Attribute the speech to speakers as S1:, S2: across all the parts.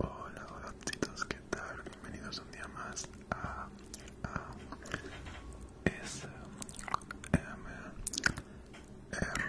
S1: Hola, hola, ¿qué tal? bienvenidos un día más a, S M em, R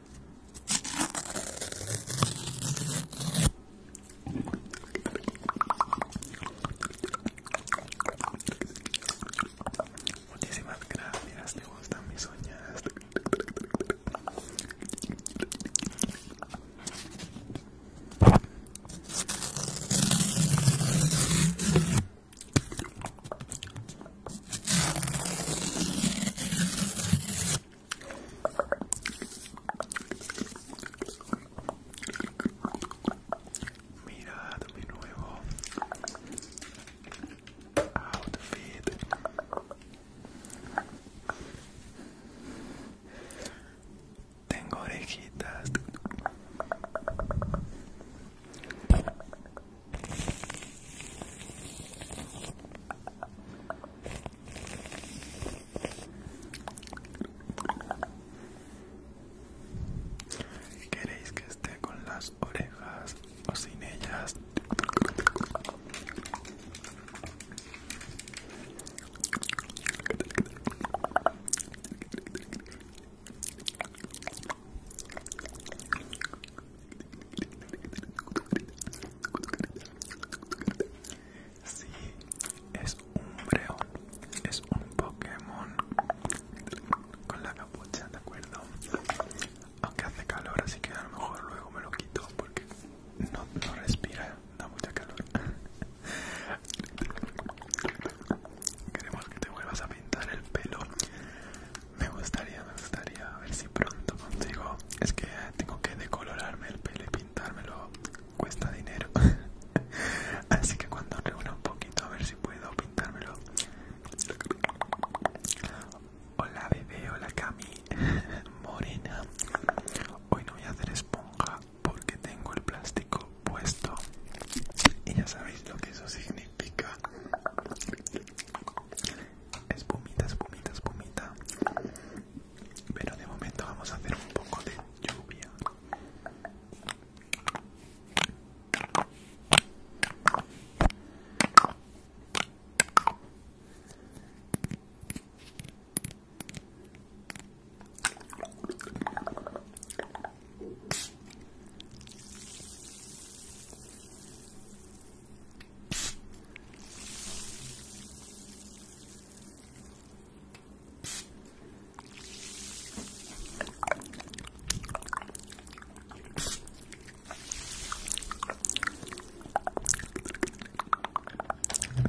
S1: Muchísimas gracias, te gustan mis uñas. Mira, mi nuevo outfit. Tengo orejitas. ¿Queréis que esté con las orejas o sin ellas? Sí, es un breón, es un Pokémon con la capucha, ¿de acuerdo? Aunque hace calor, así que a lo mejor luego me lo quito porque no, respira, da mucha calor. Queremos que te vuelvas a pintar el pelo me gustaría, me gustaría, a ver si pronto consigo. Es que tengo que decolorarme el pelo y pintármelo, cuesta dinero. Así que cuando reúna un poquito, a ver si puedo pintármelo. Hola bebé, hola Cami, morena. Hoy no voy a hacer esponja porque tengo el plástico puesto. Y ya sabéis lo que eso significa espumita, espumita, espumita. Pero de momento vamos a hacer un poco de lluvia.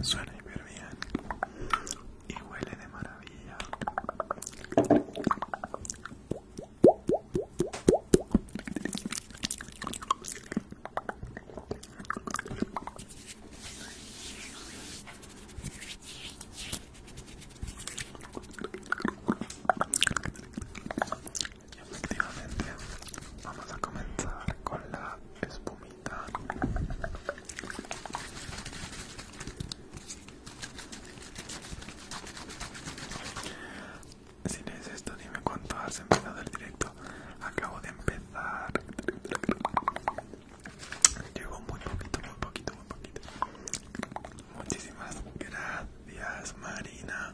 S1: Suena hiper bien y huele de maravilla. Y efectivamente vamos a comenzar con la espumita. Si no es esto, dime cuánto has empezado el directo. Acabo de empezar. Llevo muy poquito, muy poquito, muy poquito. Muchísimas gracias, Marina.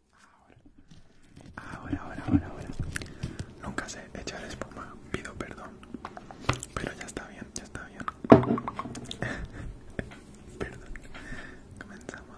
S1: Ahora, ahora, ahora, ahora. Nunca sé echar espuma, pido perdón. Pero ya está bien, ya está bien. perdón. Comenzamos.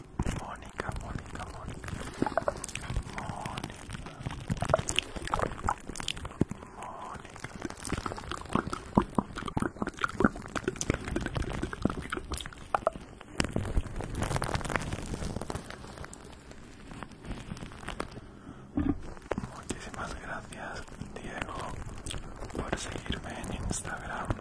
S1: Mónica, Mónica, Mónica, Mónica. Mónica. Muchísimas gracias Diego por seguirme en Instagram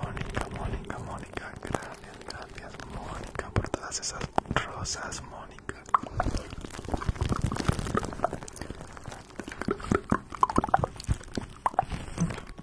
S1: Mónica, Mónica, Mónica, gracias, gracias Mónica por todas esas rosas, Mónica.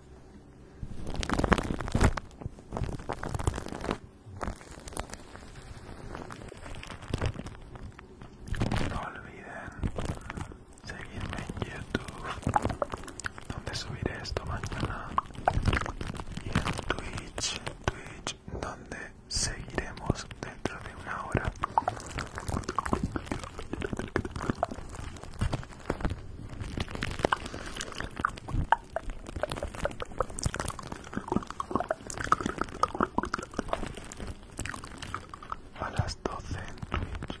S1: No olviden seguirme en YouTube, donde subiré esto mañana, y en Twitch, Twitch, donde seguiremos dentro de una hora. A las 12 en Twitch.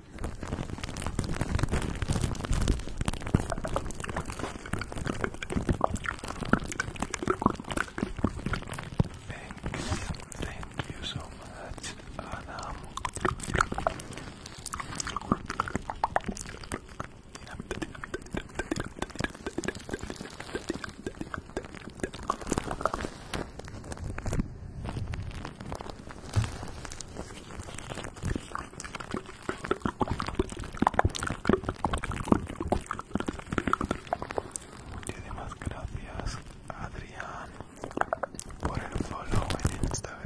S1: Thank you so much, Anam. Muchísimas gracias, Adrián, por el follow en Instagram.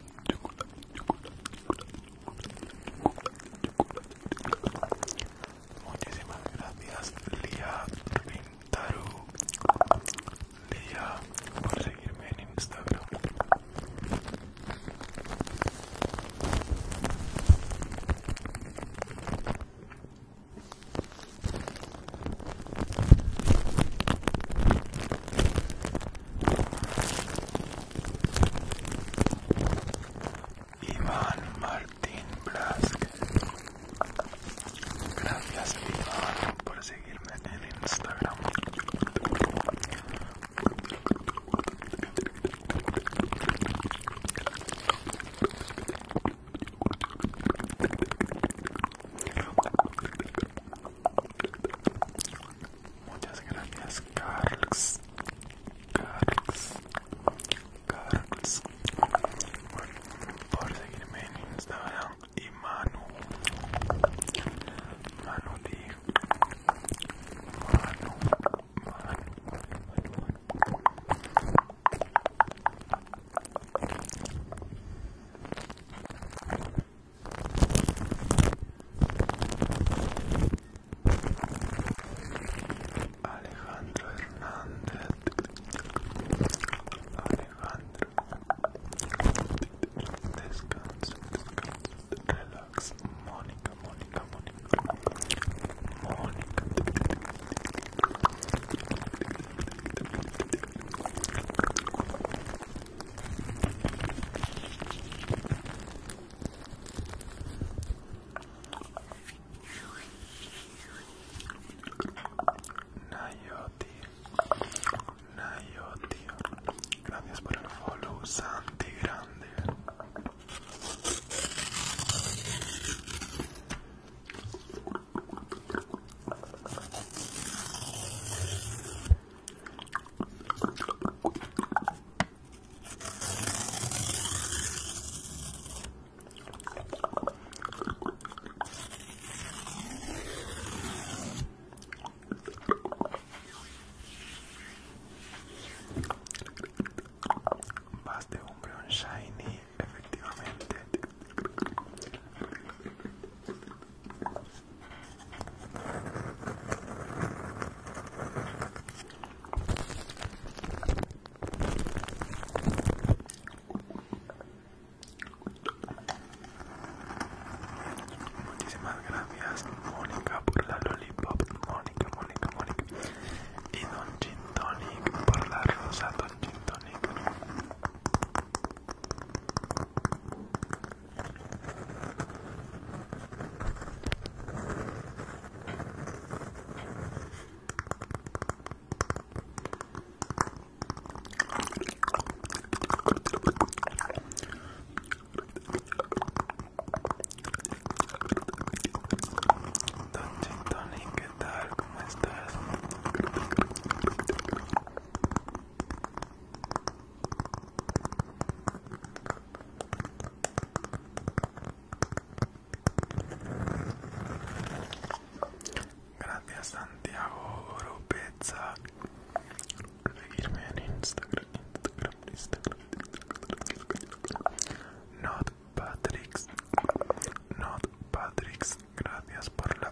S1: Muchísimas gracias, Lía Pintaru Lía, por seguirme en Instagram. Iván Martín Blasque Gracias Iván por seguirme en Instagram. Muchas gracias, Carls. Carls. Carls. Por seguirme en Instagram. Y Manu. Manu, Alejandro Hernández Alejandro Descansa, relax Mónica, Mónica, Mónica Mónica Nayoti, Nayoti, gracias por el follow, Santi Grande. Vas de un brown shiny, efectivamente. Muchísimas gracias Mónica por la lollipop, Mónica, Mónica, Mónica y Don Gin por la rosa Don Donchi Tony, ¿qué tal? ¿Cómo estás? Gracias Santiago Oropeza Seguirme en Instagram, Instagram, Not Not Gracias por la...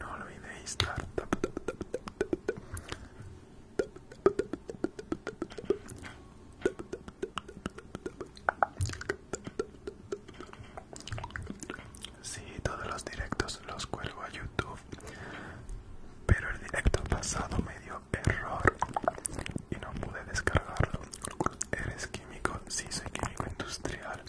S1: No olvidéis dar Sí, todos los directos los cuelgo a YouTube, pero el directo pasado me dio error y no pude descargarlo. Eres químico, sí soy químico industrial.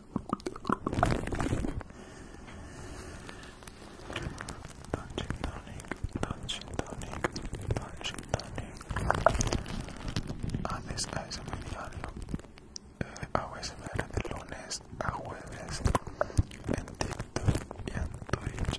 S1: Punch tonic, punch tonic. Antes ASMR diario, eh, hago ASMR de lunes a jueves en TikTok y en Twitch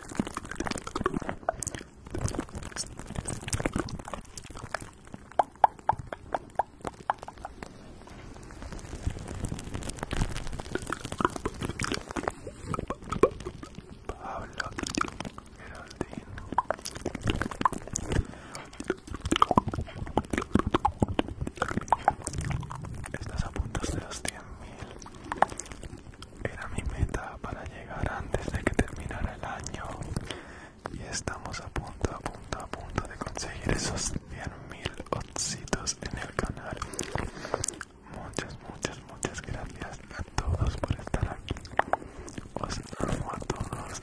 S1: Pablo Estás a punto de los 100.000 era mi meta para llegar antes de que terminara el año y estamos a punto, a punto, a punto de conseguir esos 100.000 odcitos en el canal. Muchas, muchas, muchas gracias a todos por estar aquí. Os amo a todos.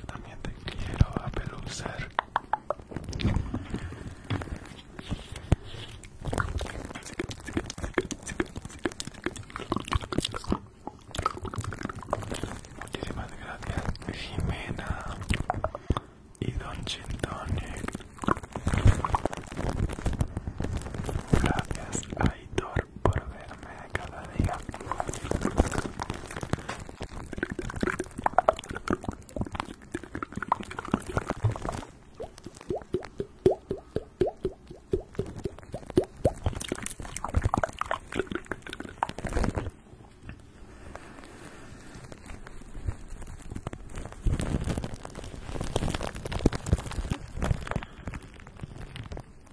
S1: Yo también te quiero pelucer Muchísimas gracias, Jimena y Don Chintone. Gracias, Aitor por verme cada día.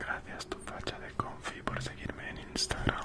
S1: Gracias tu facha de confi por seguirme en Instagram.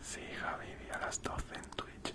S1: Sí, Javi, a las 12 en Twitch.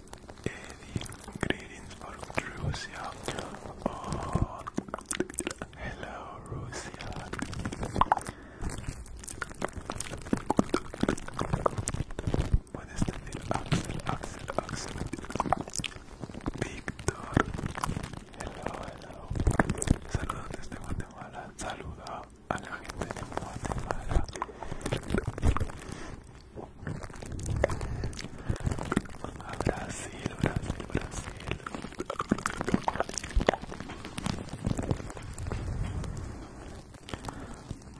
S1: uh, the ingredients Russia. Oh, hello, Russia. What is the name? Axel, Axel, Axel. Víctor. Hello, hello. Saludos desde Guatemala. Saluda a la gente de Guatemala. Brasil, Brasil, Brasil.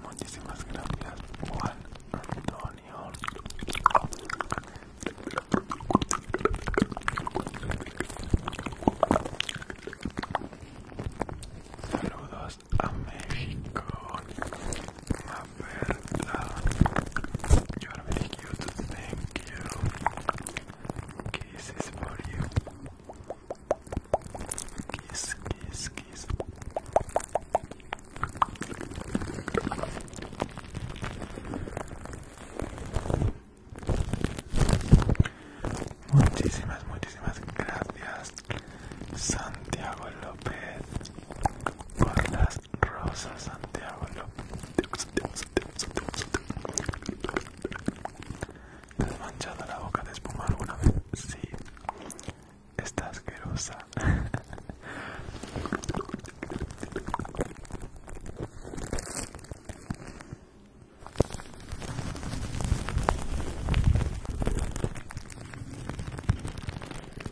S1: Muchísimas gracias, Juan Antonio. Saludos a México. Maberta, you are very cute. Thank you. Kisses for you. Kiss, kiss, kiss. Muchísimas, muchísimas gracias, Santiago López. por las rosas Santiago ¿Te has manchado la boca de espuma alguna vez? Sí, está asquerosa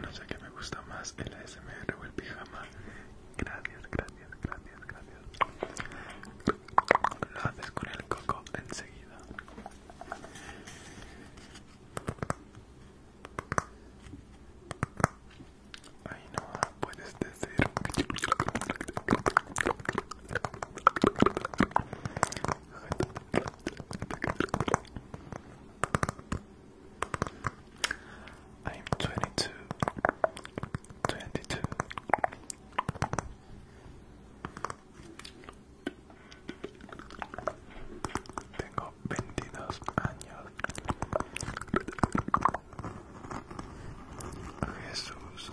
S1: No sé qué me gusta más, el ASMR o el pijama. Gracias, gracias, gracias, gracias. Lo haces con el coco enseguida. Ay no, puedes decir I'm 22 22 Tengo 22 años Jesús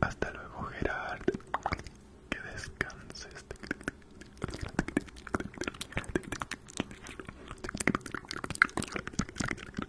S1: Hasta luego, Gerard. Que descanses.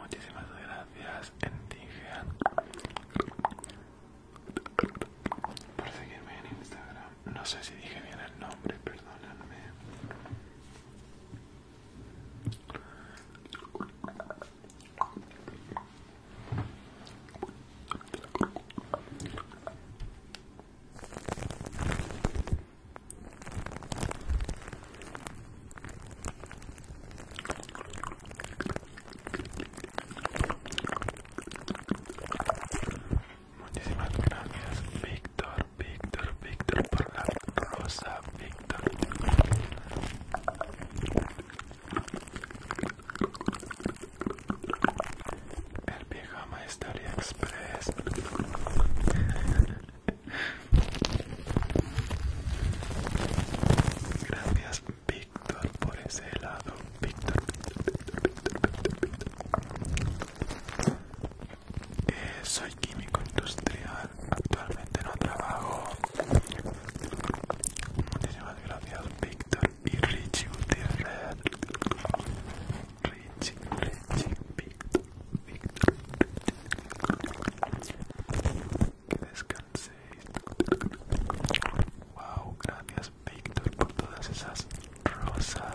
S1: Muchísimas gracias por seguirme en Instagram. No sé si dije bien el nombre, perdónenme. Muchísimas gracias, Víctor, Víctor, Víctor, por la rosa, Víctor. El Pijama Historia Express. Gracias Víctor por ese helado. Víctor, Víctor, Víctor, Víctor, Víctor, eh, soy químico industrial. Actualmente no trabajo. Muchísimas gracias Víctor y Richie Gutiérrez. Richie, Richie, Víctor, Víctor. Que descansen Wow, gracias Víctor por todas esas rosas.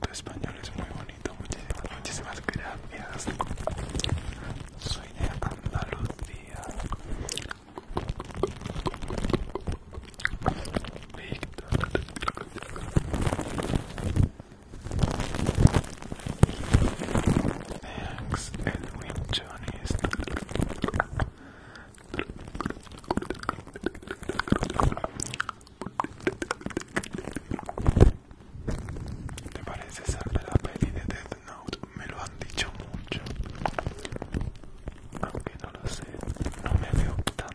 S1: Tu español es muy bonito, muchísimas, muchísimas gracias. Soy de Andalucía. Thanks, Edwin Johnny's. ¿Te parece ser la peli de Death Note? Me lo han dicho mucho. Aunque no lo sé, no me veo tan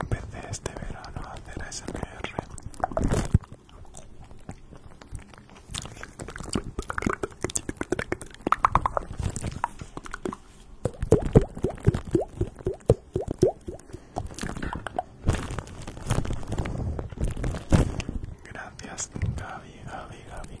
S1: Empecé este verano a hacer SMR. Gracias, Gaby, Gaby, Gaby.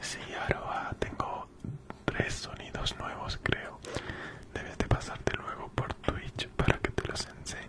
S1: Sí, Aroa, tengo tres sonidos nuevos, creo. Debes de pasarte luego por Twitch para que te los enseñe.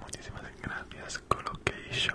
S1: Muchísimas gracias, Colocation.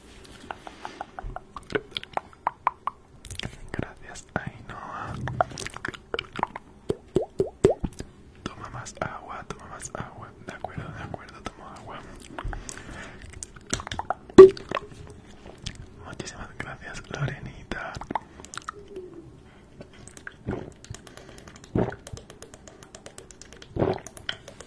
S1: Gracias, Ainhoa. Toma más agua, toma más agua. De acuerdo, de acuerdo, toma agua. Muchísimas gracias, Lorenita.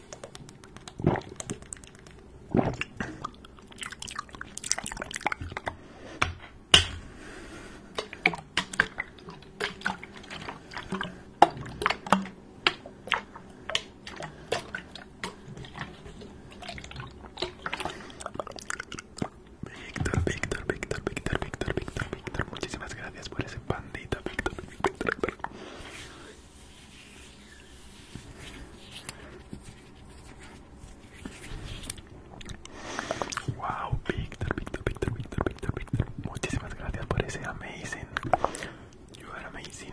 S1: Víctor, Victor, Victor, Víctor, Victor, Victor, Victor, muchísimas gracias por ese pandito, Víctor, Victor Víctor. Wow, Victor, Victor, Victor, Victor, Victor, Victor. Muchísimas gracias por ese amazing. You are amazing.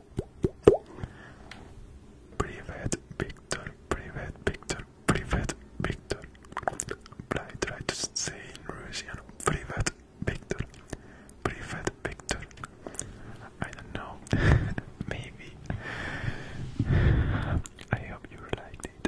S1: Privet Victor, Privet Victor, Privet Victor. But I try to say in Russian, Privet Victor, Privet Victor. I don't know, maybe. I hope you liked it.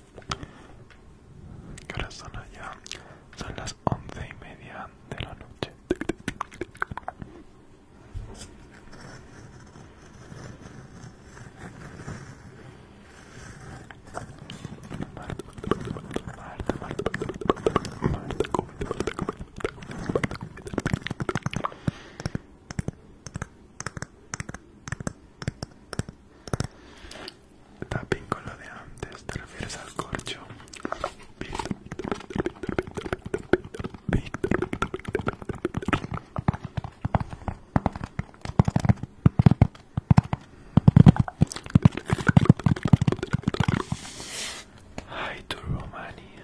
S1: Que ahora son allá, son las once y media de la noche. Tapping con lo de antes, te refieres al corcho. Romania.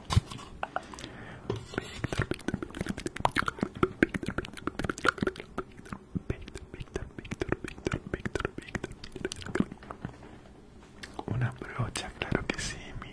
S1: Victor, Victor, Victor, Victor, Victor, Victor, Victor, Victor, Victor. Una brocha, claro que sí, mire.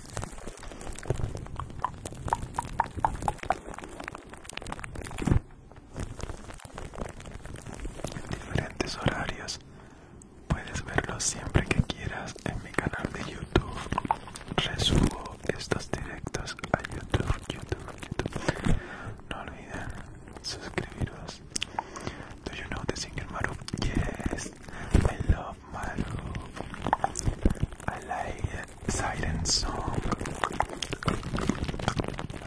S1: En diferentes horarios puedes verlo siempre que quieras en mi canal de YouTube. Resumo estos directos a YouTube, YouTube, No olviden suscribiros. Do you know Maru? Yes, I love of my love. I like it. silent song.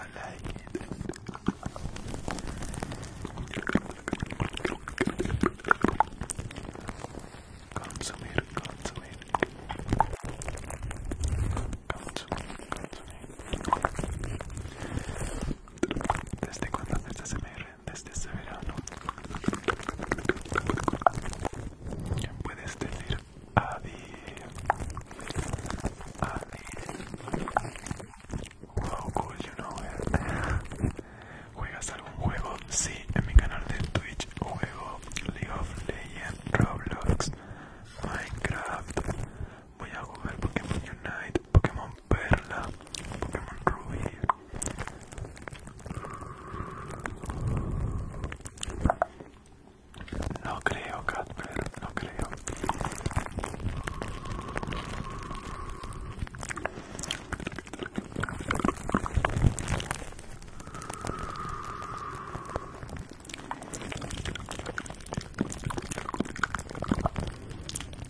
S1: I like it. Consumir, consumir. Consumir, consumir. Desde cuando haces SMR desde ese verano? Puedes decir Adi. Adi. Wow, cool, you know it. ¿Juegas algún juego? Sí, en mi canal de Twitch juego League of Legends, Roblox, Minecraft. Voy a jugar Pokémon Unite, Pokémon Perla, Pokémon Ruby, no creo, Catper, no creo.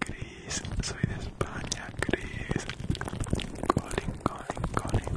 S1: Chris, soy de España, Chris. Colin, Colin, Colin.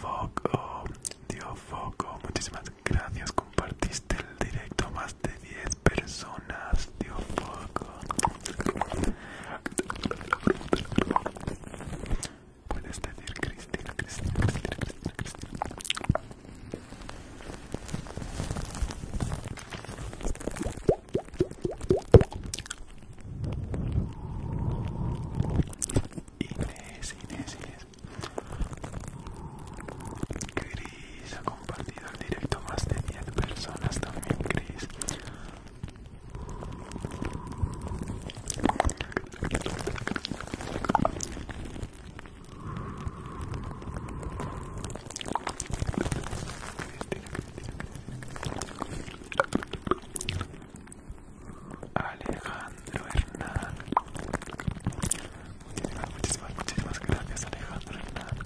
S1: foco, Dios foco, muchísimas gracias. Compartiste el directo a más de 10 personas. foco Puedes decir Cristina, Cristina, Cristina, Cristina, Cristina. Inés, Inés, Inés. Chris ha compartido el directo más de 10 personas también, Chris. Alejandro Hernán. Muchísimas, muchísimas, muchísimas gracias, Alejandro Hernán.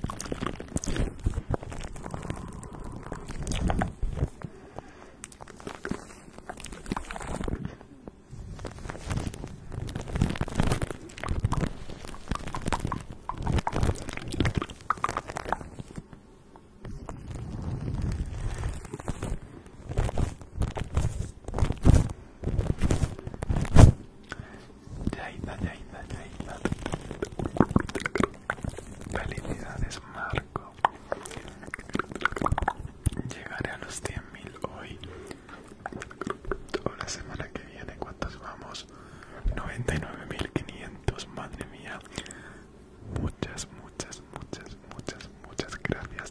S1: Yaida, Yaida, Yaida. Felicidades, Marco. Llegaré a los 100.000 hoy. Toda la semana que viene, ¿cuántos vamos? 99.500, madre mía. Muchas, muchas, muchas, muchas, muchas gracias.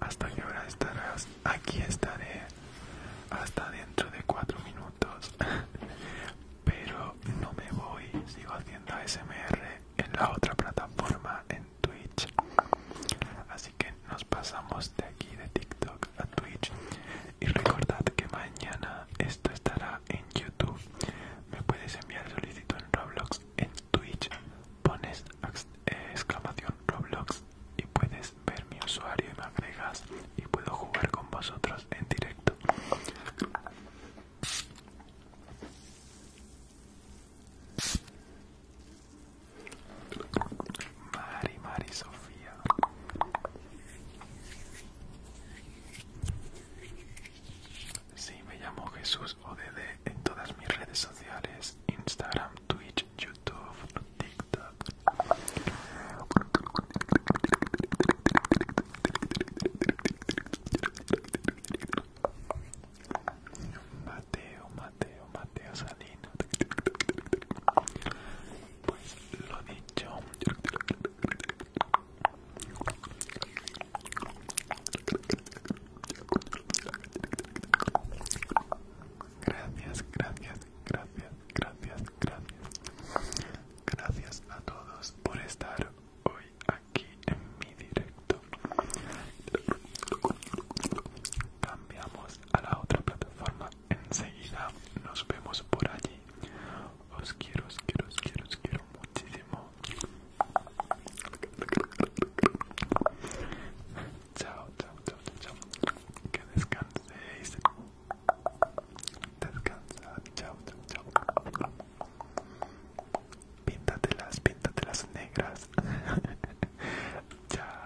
S1: ¿Hasta que hora estarás? Aquí estaré hasta dentro de 4 minutos. Pero no me voy, sigo haciendo ASMR en la otra plataforma, en Twitch. Así que nos pasamos de aquí de TikTok a Twitch y recordad que mañana esto estará en YouTube. Me puedes enviar solicitud en Roblox, en Twitch pones eh, exclamación Roblox y puedes ver mi usuario y me agregas y puedo jugar con vosotros en directo. Mari, Mari, Sofía. Sí, me llamo Jesús ODD en todas mis redes sociales, Instagram, Twitch, YouTube, TikTok. Mateo, Mateo, Mateo Salino Pues lo dicho. Gracias, gracias, gracias, gracias, gracias. Gracias a todos por estar hoy aquí en mi directo. Cambiamos a la otra plataforma Enseguida nos vemos por allí. Os quiero, os quiero, os quiero, os quiero muchísimo. Chao, chao, chao, chao. Que descanséis. Descansad, chao, chao, chao. Píntatelas, píntatelas negras. chao.